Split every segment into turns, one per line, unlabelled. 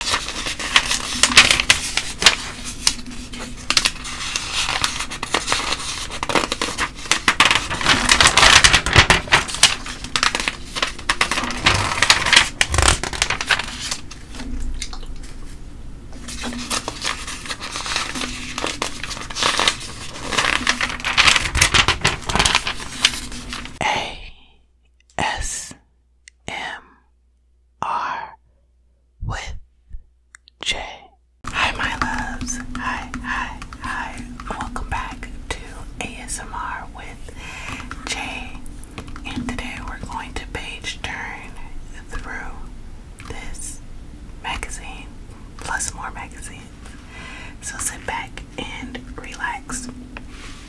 A S M R with J. Hi, my loves. Hi, hi, hi. Welcome back to ASMR with J. And today we're going to page turn through this magazine, plus more magazines. So sit back and relax.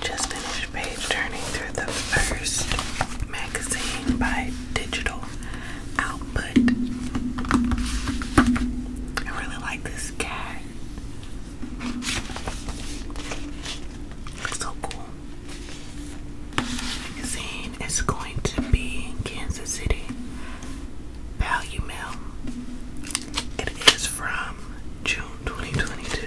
Just finished page turning through the first magazine by Digital Output. I really like this cat. so cool magazine is going to be Kansas City. Value Mail. It is from June 2022.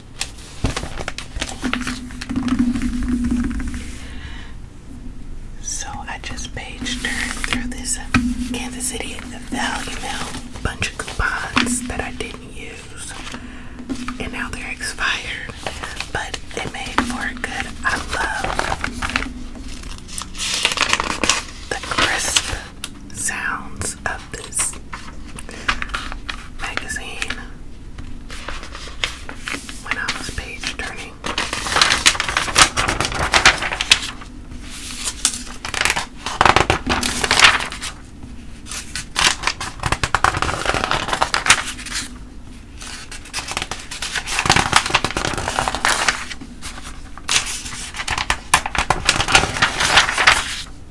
So I just page turned through this Kansas City Valley Mail bunch of coupons that I didn't use, and now they're expired. But it made for good. I love the crisp sounds of this magazine when I was page turning.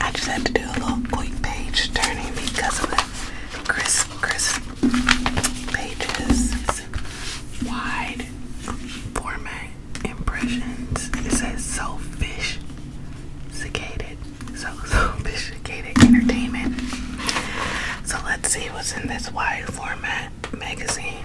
I just had to do a little page turning because of the crisp, crisp pages. wide format impressions. It says so fish sophisticated, so sophisticated entertainment. So let's see what's in this wide format magazine.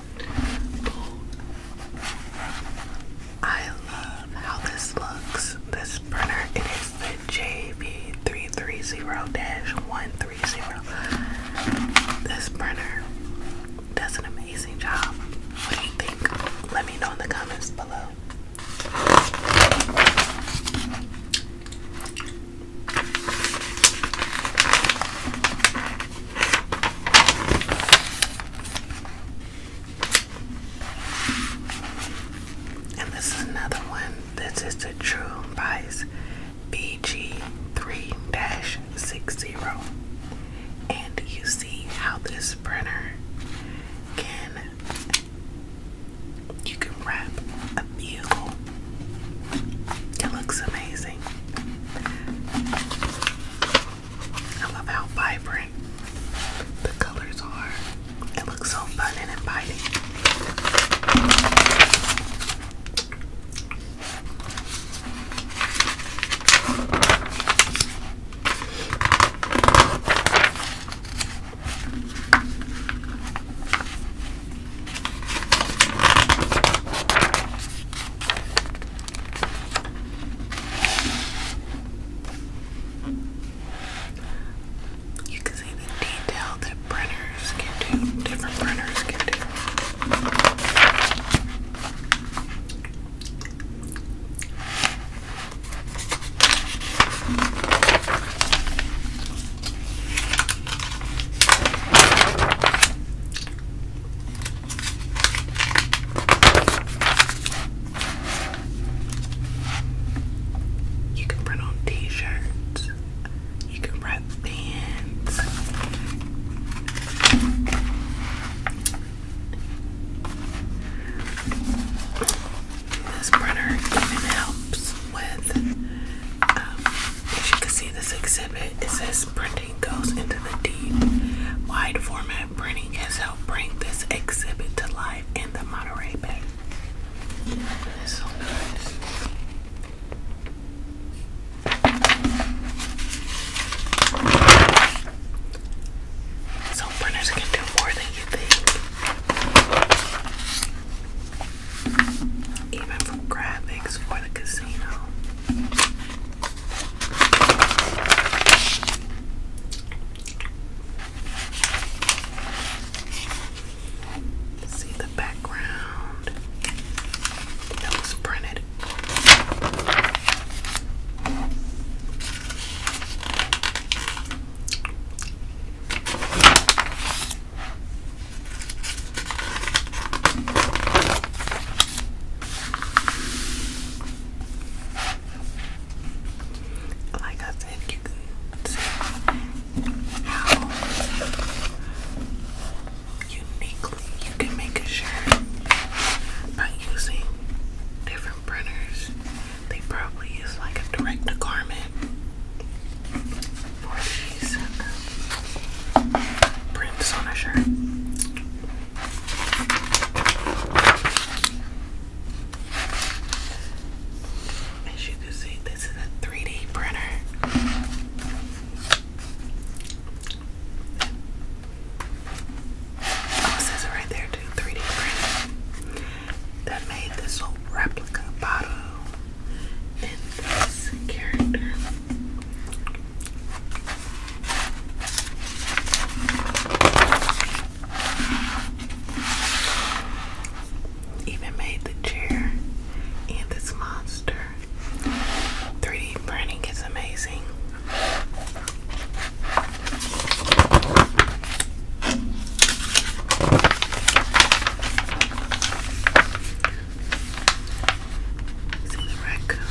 I love how this looks. This printer, it is the JB330-130. This printer does an amazing job. What do you think? Let me know in the comments below. And this is another one. This is the True Vice BG3-60. dash And you see how this printer can you can wrap a meal. It looks amazing. I love how vibrant the colors are. It looks so fun and inviting. You can see the detail that printers can do, different printers can do. You can print on t-shirts. You can wrap bands. This printer even helps with, um, as you can see, this exhibit. is says print goes into the deep, wide format printing has helped bring this exhibit to life in the Monterey Bay. so printers can do more than you think. Even from graphics for the casino. See the background that was printed. Like I said, you can see how uniquely you can make a shirt by using different printers. They probably use like a direct to garment for these prints on a shirt. As you can see, this is a 3D printer. Oh, says it right there too, 3D printer. That made this whole replica bottle and this character. Even made the chair and this monster. 3D printing is amazing. See the raccoon.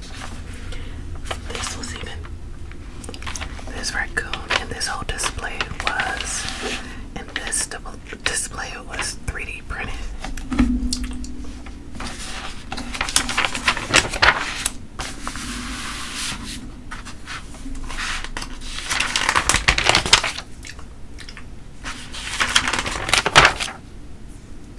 This was even this raccoon and this whole display was and this display was 3D printed.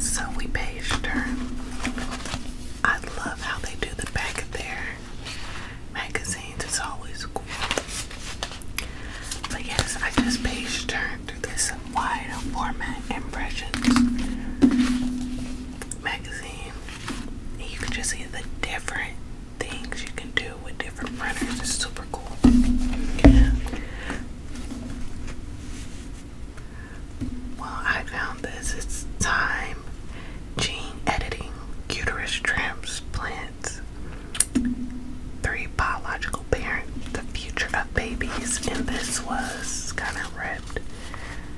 So we page turn. I love how they do the back of their magazines, it's always cool. But yes, I just page turn through this wide format impressions magazine you can just see the different things you can do with different printers. It's super cool. Well, I found this. It's time gene editing uterus transplants. Three biological parents, the future of babies, and this was kind of ripped.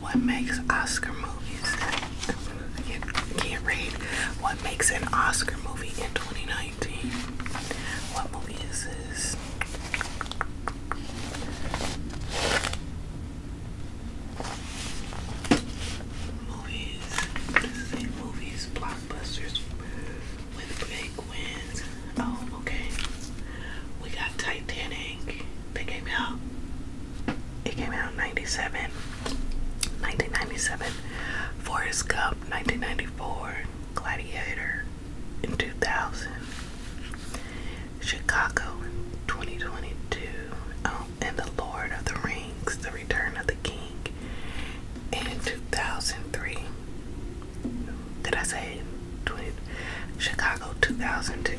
What makes Oscar movies? can't, read. What makes an Oscar movie in 2019? What movie is this? Movies. Movies, blockbusters, with big wins. Oh, okay. We got Titanic. They came out. It came out in 97. 1997. Forrest Gump, 1994. Gladiator in 2000. Chicago in 2022. Oh, um, and The Lord of the Rings, The Return of the King in 2003. Did I say twin? Chicago 2002.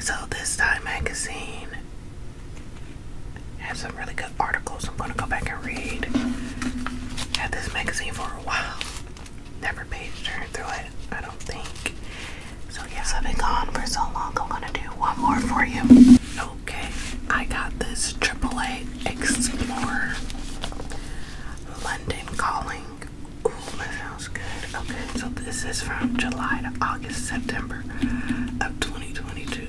So, this Time magazine has some really good articles. I'm going to go back and read. Had this magazine for a while. Never page turned through it, I don't think. So, yes, I've been gone for so long. I'm going to do one more for you. Oh, Okay, I got this AAA Explore London Calling. Ooh, that sounds good. Okay, so this is from July to August, September of 2022.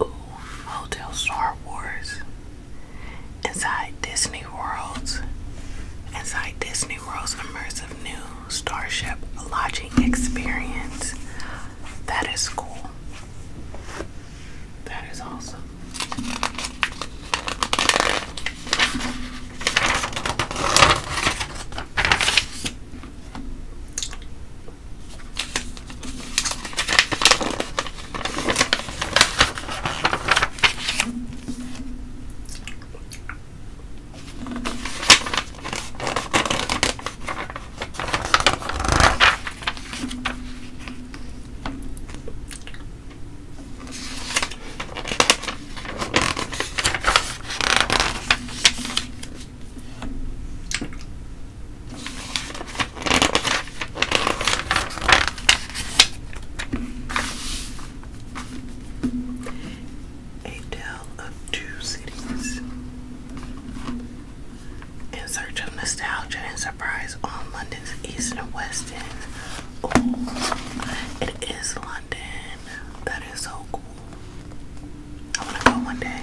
Ooh, Hotel Star Wars. Inside Disney World's Inside Disney World's immersive new Starship lodging experience. That is cool. That is awesome. A Tale of Two Cities in Search of Nostalgia and Surprise on London's eastern and western. Oh, it is London. That is so cool. I want to go one day.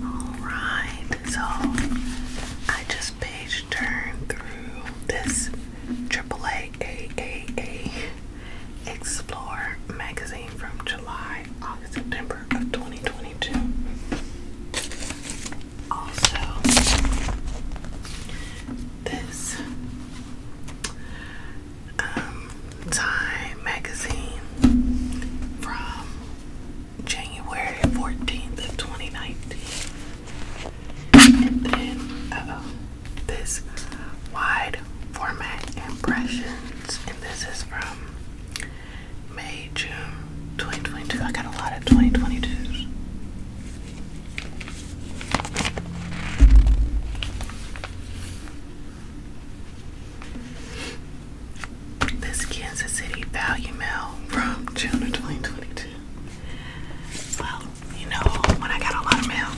All right, so I just paged turn through this AAA AAA Explore magazine from July, August, September of 2022. Also, this um, Time magazine from January 14th of 2019. And then, this wide format impressions. And this is from May, June 2022. I got a lot of 2022s. This Kansas City Value Mail from June of 2022. Well, you know, when I got a lot of mail.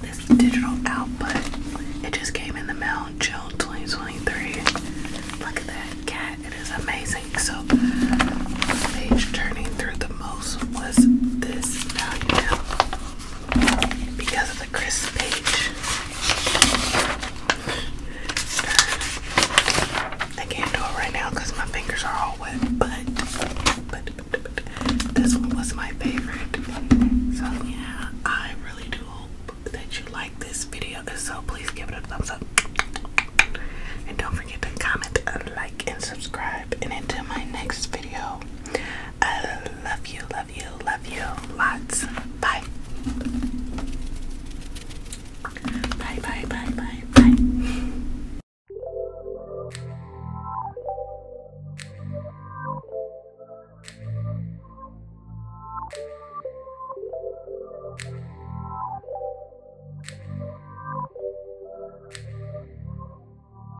this digital output, it just came in the mail June 2023. Look at that cat, it is amazing. So, page turning through the most was this because of the crisp I can't do it right now because my fingers are all wet, but, but, this one was my favorite. So, yeah, I really do hope that you like this video. If so, please give it a thumbs up. And don't forget to comment, like, and subscribe. And until my next video, I love you, love you, love you lots. Bye. Bye, bye, bye, bye,